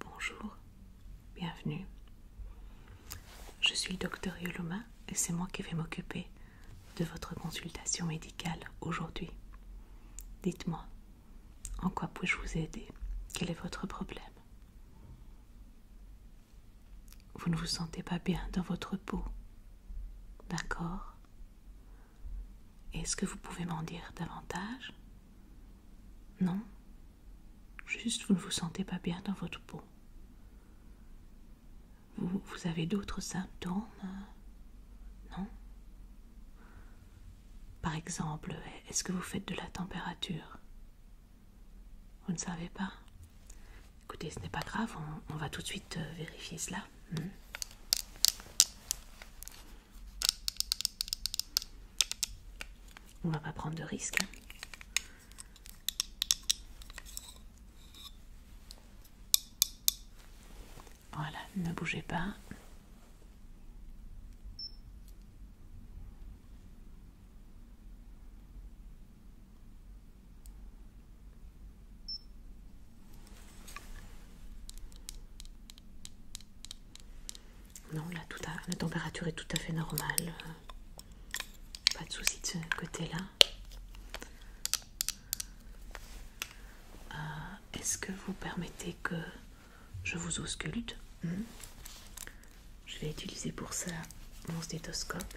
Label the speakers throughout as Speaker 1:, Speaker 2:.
Speaker 1: Bonjour, bienvenue. Je suis le docteur Yoloma et c'est moi qui vais m'occuper de votre consultation médicale aujourd'hui. Dites-moi, en quoi puis-je vous aider Quel est votre problème Vous ne vous sentez pas bien dans votre peau D'accord Est-ce que vous pouvez m'en dire davantage Non Juste vous ne vous sentez pas bien dans votre peau. Vous, avez d'autres symptômes Non Par exemple, est-ce que vous faites de la température Vous ne savez pas Écoutez, ce n'est pas grave, on, va tout de suite euh, vérifier cela. On hmm. On va pas prendre de risques. Hein. Voilà, ne bougez pas. Non, là, tout à, la température est tout à fait normale. Pas de souci de ce côté-là. Euh, est-ce que vous permettez que je vous ausculte hmm. Je vais utiliser pour ça mon stéthoscope.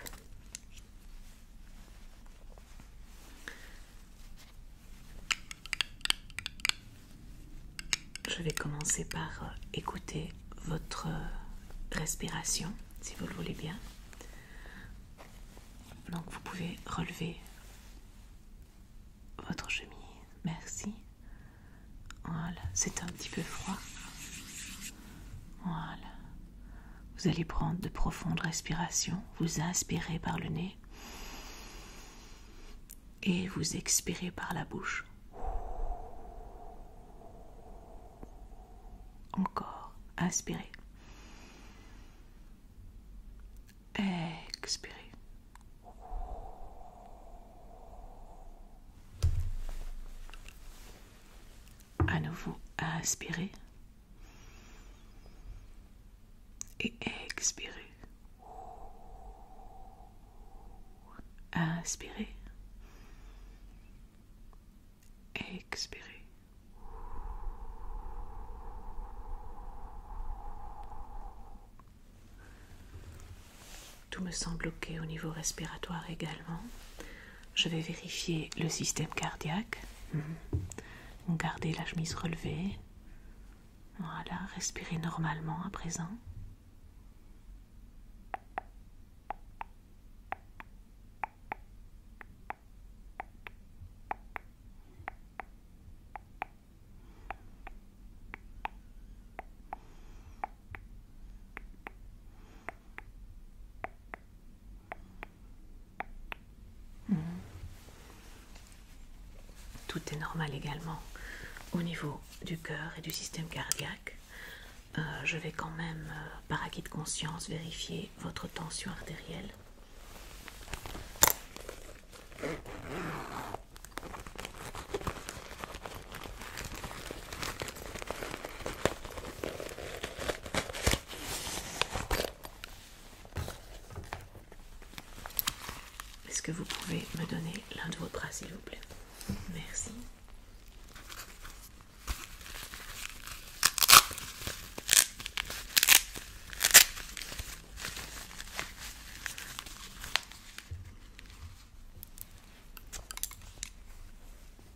Speaker 1: Je vais commencer par euh, écouter votre euh, respiration, si vous le voulez bien. Donc vous pouvez relever votre chemise. Merci. Voilà, c'est un petit peu froid. Voilà, vous allez prendre de profondes respirations, vous inspirez par le nez et vous expirez par la bouche. Encore, inspirez. Expirez. À nouveau, inspirez. Et expirez. Inspirez. Expirez. Tout me semble bloqué au niveau respiratoire également. Je vais vérifier le système cardiaque. Mhm. Gardez la chemise relevée. Voilà, respirez normalement à présent. Tout est normal également au niveau du cœur et du système cardiaque. Euh, je vais quand même, euh, par acquis de conscience, vérifier votre tension artérielle. Est-ce que vous pouvez me donner l'un de vos bras, s'il vous plaît Merci.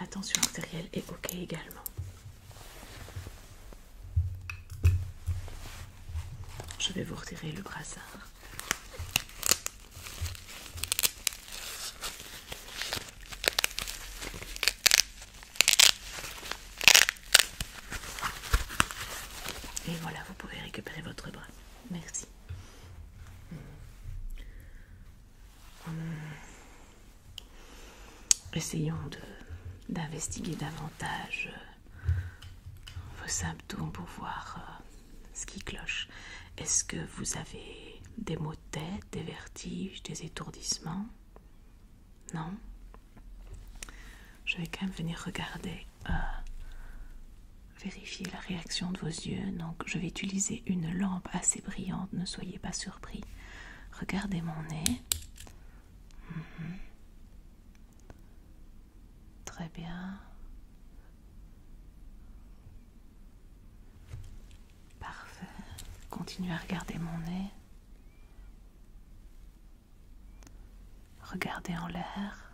Speaker 1: La tension artérielle est OK également. Je vais vous retirer le brassard. Et voilà, vous pouvez récupérer votre bras. Merci. Hmm. Hmm. Essayons d'investiguer davantage euh, vos symptômes pour voir euh, ce qui cloche. Est-ce que vous avez des maux de tête, des vertiges, des étourdissements Non Je vais quand même venir regarder, euh, vérifier la réaction de vos yeux. Donc je vais utiliser une lampe assez brillante, ne soyez pas surpris. Regardez mon nez. Mhm. Très bien. Parfait. Continue à regarder mon nez. Regardez en l'air.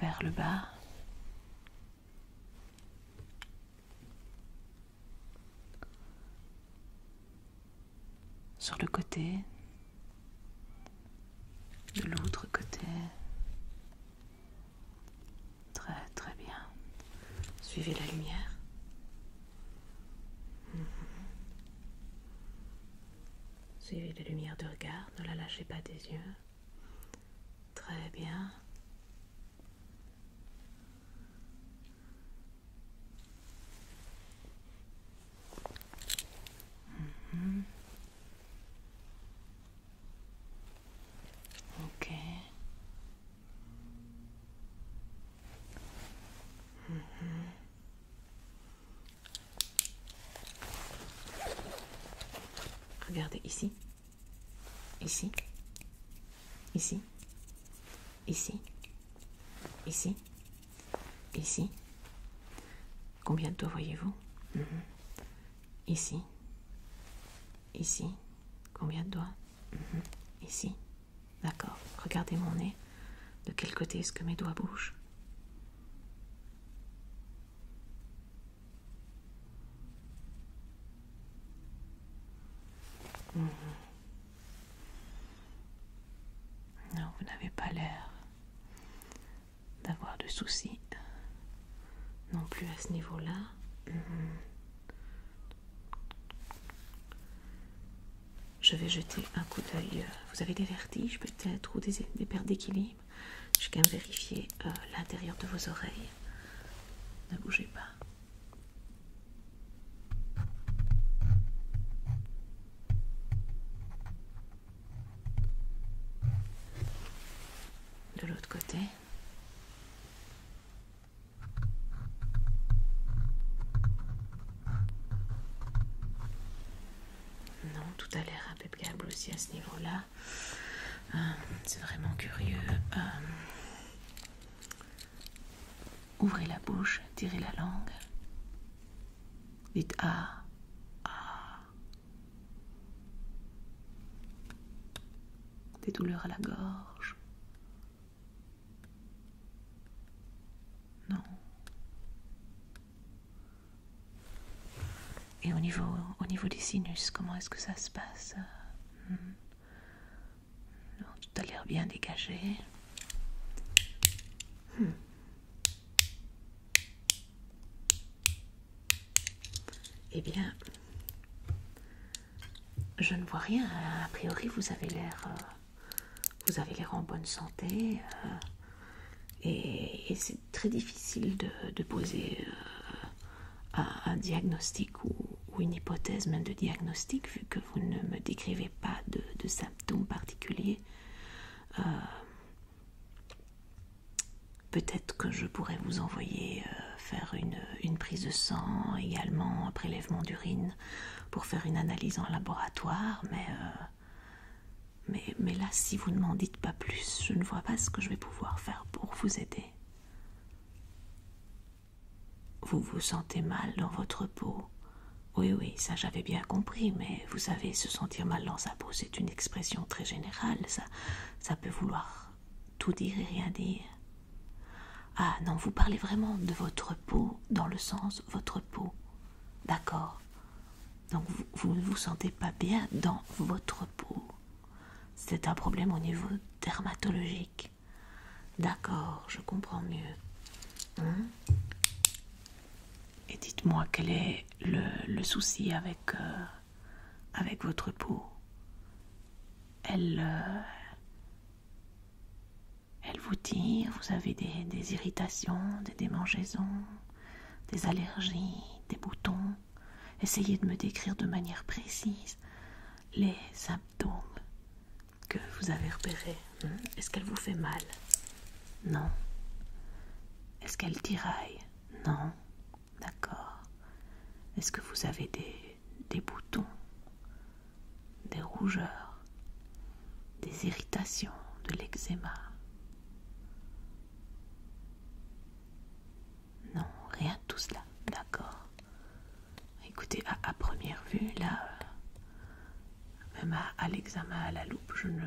Speaker 1: Vers le bas. Sur le côté de l'autre côté. Très très bien. Suivez la lumière. Mhm. Suivez la lumière de regard, ne la lâchez pas des yeux. Très bien. Ok. Mhm. Regardez ici, ici, ici, ici, ici, Ici. Combien de doigts voyez-vous mhm. Ici. Ici. Combien de doigts mhm. Ici. D'accord. Regardez mon nez. De quel côté est-ce que mes doigts bougent mhm. Non, vous n'avez pas l'air d'avoir de soucis non plus à ce niveau-là. Mhm. Je vais jeter un coup d'œil. Euh, vous avez des vertiges peut-être ou des, pertes d'équilibre Je vais même vérifier euh, l'intérieur de vos oreilles. Ne bougez pas de l'autre côté. Non, tout a l'air impeccable aussi à ce niveau-là. Euh, c'est vraiment curieux. Euh, ouvrez la bouche, tirez la langue. Dites ah, ah. Des douleurs à la gorge. Non. Et au niveau, au niveau des sinus, comment est-ce que ça se passe euh, hmm? non, Tout a l'air bien dégagé. Hmm. Eh bien, je ne vois rien. A priori, vous avez l'air, euh, vous avez l'air en bonne santé, euh, et, c'est très difficile de, poser euh, un, diagnostic ou, une hypothèse, même de diagnostic, vu que vous ne me décrivez pas de, symptômes particuliers. Peut-être que je pourrais vous envoyer euh, faire une, prise de sang, également un prélèvement d'urine pour faire une analyse en laboratoire, mais, euh, mais, mais là, si vous ne m'en dites pas plus, je ne vois pas ce que je vais pouvoir faire pour vous aider. Vous vous sentez mal dans votre peau. Oui, oui, ça j'avais bien compris, mais vous savez, se sentir mal dans sa peau, c'est une expression très générale, ça, ça peut vouloir tout dire et rien dire. Ah non, vous parlez vraiment de votre peau, dans le sens votre peau. D'accord. Donc vous, ne vous sentez pas bien dans votre peau. C'est un problème au niveau dermatologique. D'accord, je comprends mieux. Hein? Et dites-moi quel est le, souci euh, avec, votre peau. Elle, euh, elle vous tire, vous avez des, des irritations, des démangeaisons, des allergies, des boutons. Essayez de me décrire de manière précise les symptômes que vous avez repérés. Hmm. Est-ce qu'elle vous fait mal non. Est-ce qu'elle tiraille Non. D'accord. Est-ce que vous avez des, boutons Des rougeurs Des irritations De l'eczéma Non, rien de tout cela. D'accord. Écoutez, à, première vue, là, euh, même à l'examen à la loupe, je ne,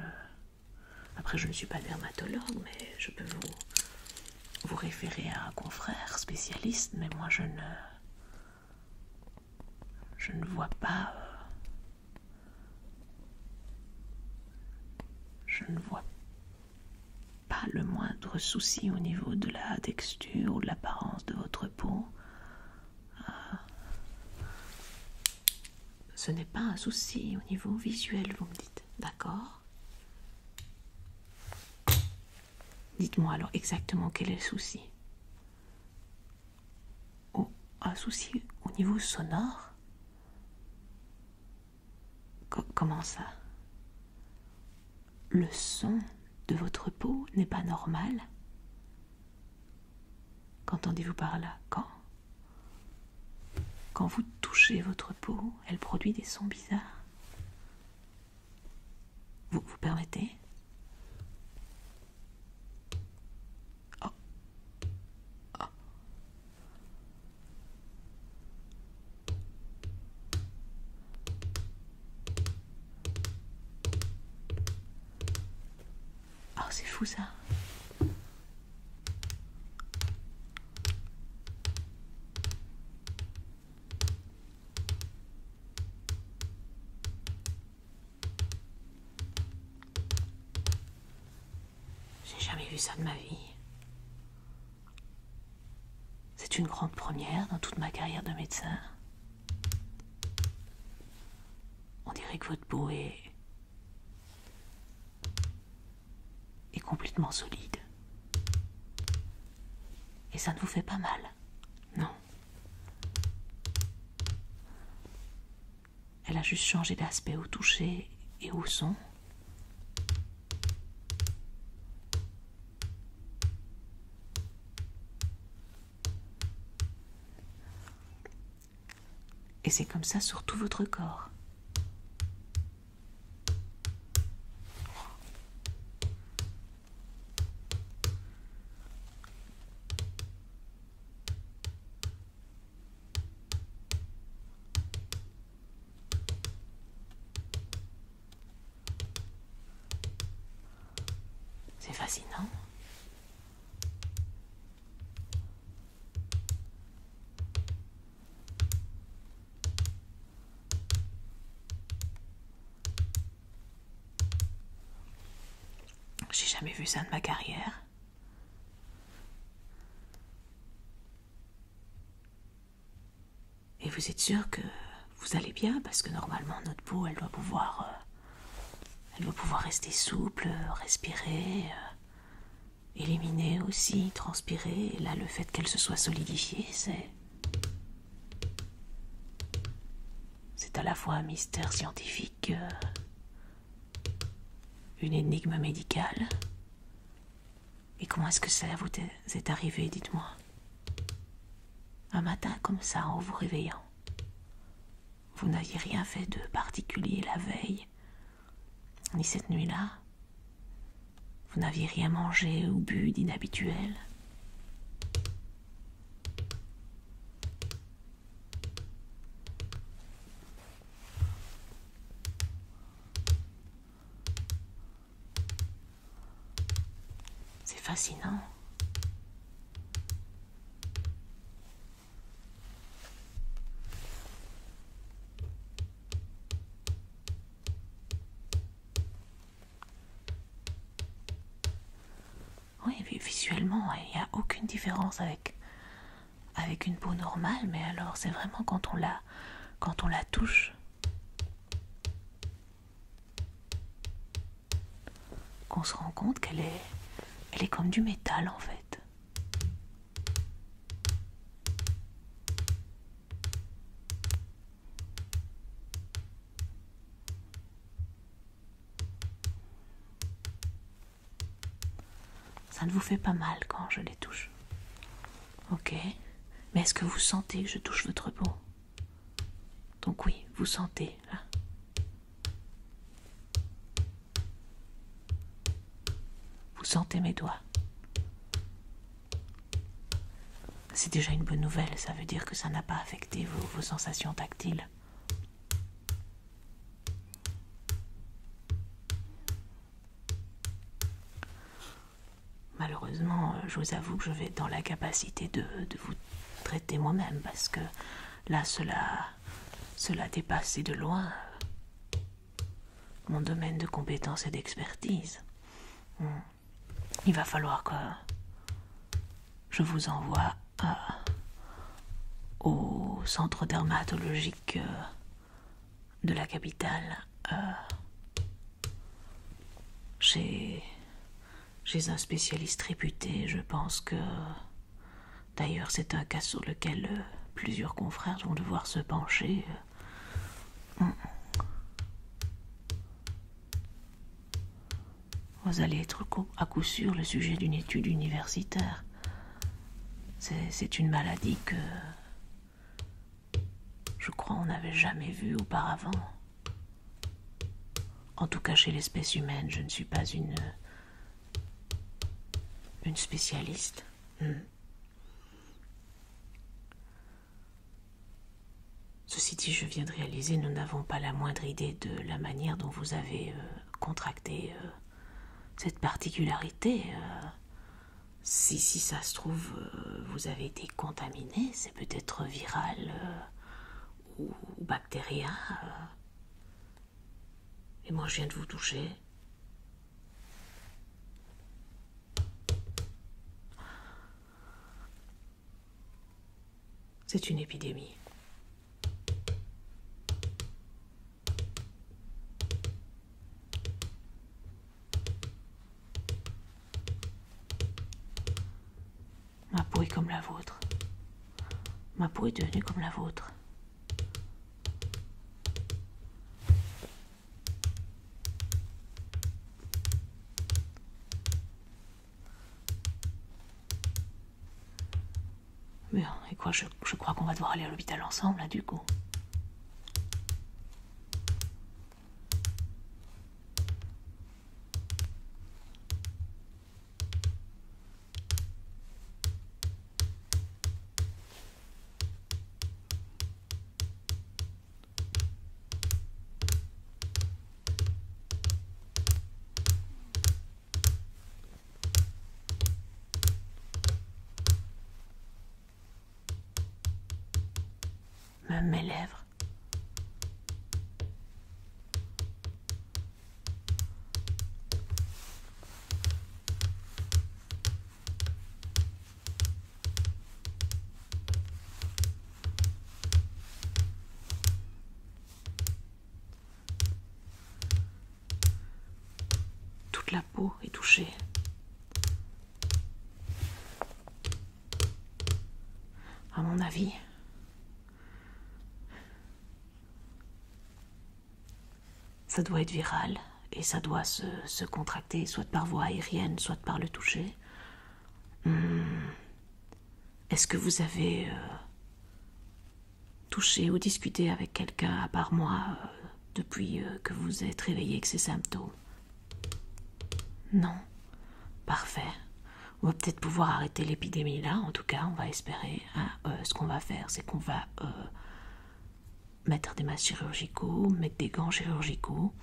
Speaker 1: après, je ne suis pas dermatologue, mais je peux vous, vous référer à un confrère spécialiste, mais moi je ne. Je ne vois pas. Euh, je ne vois pas le moindre souci au niveau de la texture ou de l'apparence de votre peau. Euh, ce n'est pas un souci au niveau visuel, vous me dites, d'accord Dites-moi alors exactement quel est le souci. un souci au niveau sonore Comment ça Le son de votre peau n'est pas normal Qu'entendez-vous par là Quand Quand vous touchez votre peau, elle produit des sons bizarres. Vous vous permettez oh. Oh. Oh, c'est fou ça. J'ai jamais vu ça de ma vie. C'est une grande première dans toute ma carrière de médecin. On dirait que votre beau est et complètement solide. Et ça ne vous fait pas mal, non Elle a juste changé d'aspect au toucher et au son. Et c'est comme ça sur tout votre corps. C'est fascinant. J'ai jamais vu ça de ma carrière. Et vous êtes sûr que vous allez bien parce que normalement notre peau, elle doit pouvoir, euh, elle doit pouvoir rester souple, euh, respirer. Euh, Éliminer aussi, transpirer, là le fait qu'elle se soit solidifiée, c'est. C'est à la fois un mystère scientifique, euh, une énigme médicale. Et comment est-ce que ça vous est arrivé, dites-moi Un matin comme ça, en vous réveillant. Vous n'aviez rien fait de particulier la veille, ni cette nuit-là. Vous n'aviez rien mangé ou bu d'inhabituel. C'est fascinant. Oui, visuellement, il n'y a aucune différence avec, une peau normale, mais alors c'est vraiment quand on la, quand on la touche qu'on se rend compte qu'elle est, elle est comme du métal en fait. Ça ne vous fait pas mal quand je les touche. Ok. Mais est-ce que vous sentez que je touche votre peau Donc oui, vous sentez. Vous sentez mes doigts C'est déjà une bonne nouvelle, ça veut dire que ça n'a pas affecté vos, sensations tactiles. Malheureusement, euh, je vous avoue que je vais être dans la capacité de vous traiter moi-même parce que là, cela cela dépasse de loin mon domaine de compétence et d'expertise. Hmm. Il va falloir que je vous envoie euh, au centre dermatologique euh, de la capitale. J'ai euh, chez un spécialiste réputé, je pense que D'ailleurs, c'est un cas sur lequel euh, plusieurs confrères vont devoir se pencher. Euh. Mm. Vous allez être à coup sûr le sujet d'une étude universitaire. C'est une maladie que je crois on n'avait jamais vue auparavant. En tout cas chez l'espèce humaine, je ne suis pas une une spécialiste hmm. Ceci dit, je viens de réaliser, nous n'avons pas la moindre idée de la manière dont vous avez euh, contracté euh, cette particularité. Euh. si, si ça se trouve, vous avez été contaminé, c'est peut-être viral ou bactérien. Et moi, je viens de vous toucher. C'est une épidémie. Ma peau est comme la vôtre. Ma peau est devenue comme la vôtre. Merde, et quoi, je, je crois qu'on va devoir aller à l'hôpital ensemble, du coup. Même mes lèvres. Toute la peau est touchée. À mon avis, ça doit être viral et ça doit se, contracter soit par voie aérienne, soit par le toucher. Hmm. Est-ce que vous avez euh, touché ou discuté avec quelqu'un à part moi euh, depuis euh, que vous êtes réveillé avec ces symptômes Non. Parfait. On va peut-être pouvoir arrêter l'épidémie là, en tout cas, on va espérer. Euh, ce qu'on va faire, c'est qu'on va euh, mettre des masques chirurgicaux, mettre des gants chirurgicaux,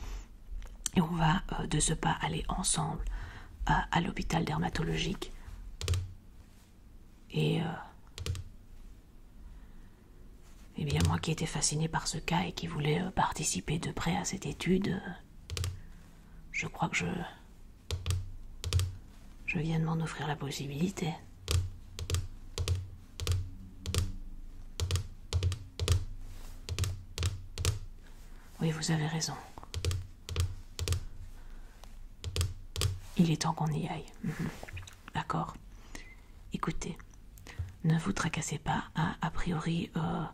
Speaker 1: et on va euh, de ce pas aller ensemble à l'hôpital dermatologique. Et, eh bien moi qui étais fasciné par ce cas et qui voulais participer de près à cette étude, je crois que je je viens de m'en offrir la possibilité. Oui, vous avez raison. Il est temps qu'on y aille. Mhm. D'accord. Écoutez, ne vous tracassez pas. Hein. a priori, euh,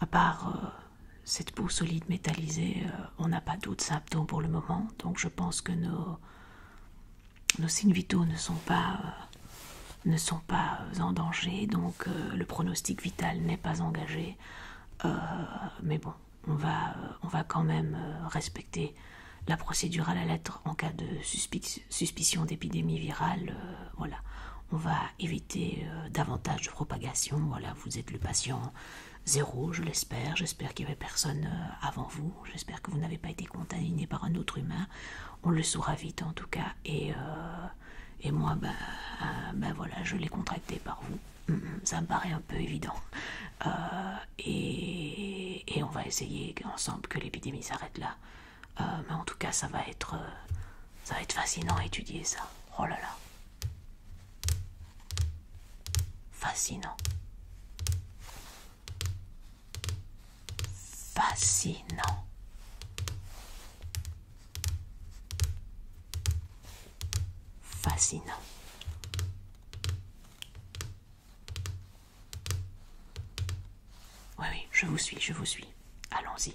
Speaker 1: à part euh, cette peau solide métallisée, euh, on n'a pas d'autres pour le moment, donc je pense que nos, nos signes vitaux ne sont pas, euh, ne sont pas euh, en danger, donc euh, le pronostic vital n'est pas engagé. mais bon, on va, on va quand même respecter la procédure à la lettre en cas de suspicion d'épidémie virale. voilà, on va éviter davantage de propagation. Voilà, vous êtes le patient zéro, je l'espère. J'espère qu'il n'y avait personne euh, avant vous. J'espère que vous n'avez pas été contaminé par un autre humain. On le saura vite en tout cas. Et, euh, et moi, ben, euh, ben voilà, je l'ai contracté par vous. Ça me paraît un peu évident. et, et on va essayer ensemble que l'épidémie s'arrête là. mais en tout cas, ça va être, ça va être fascinant à étudier ça. Oh là là. Fascinant. Fascinant. Fascinant. Oui, oui, je vous suis, je vous suis. Allons-y.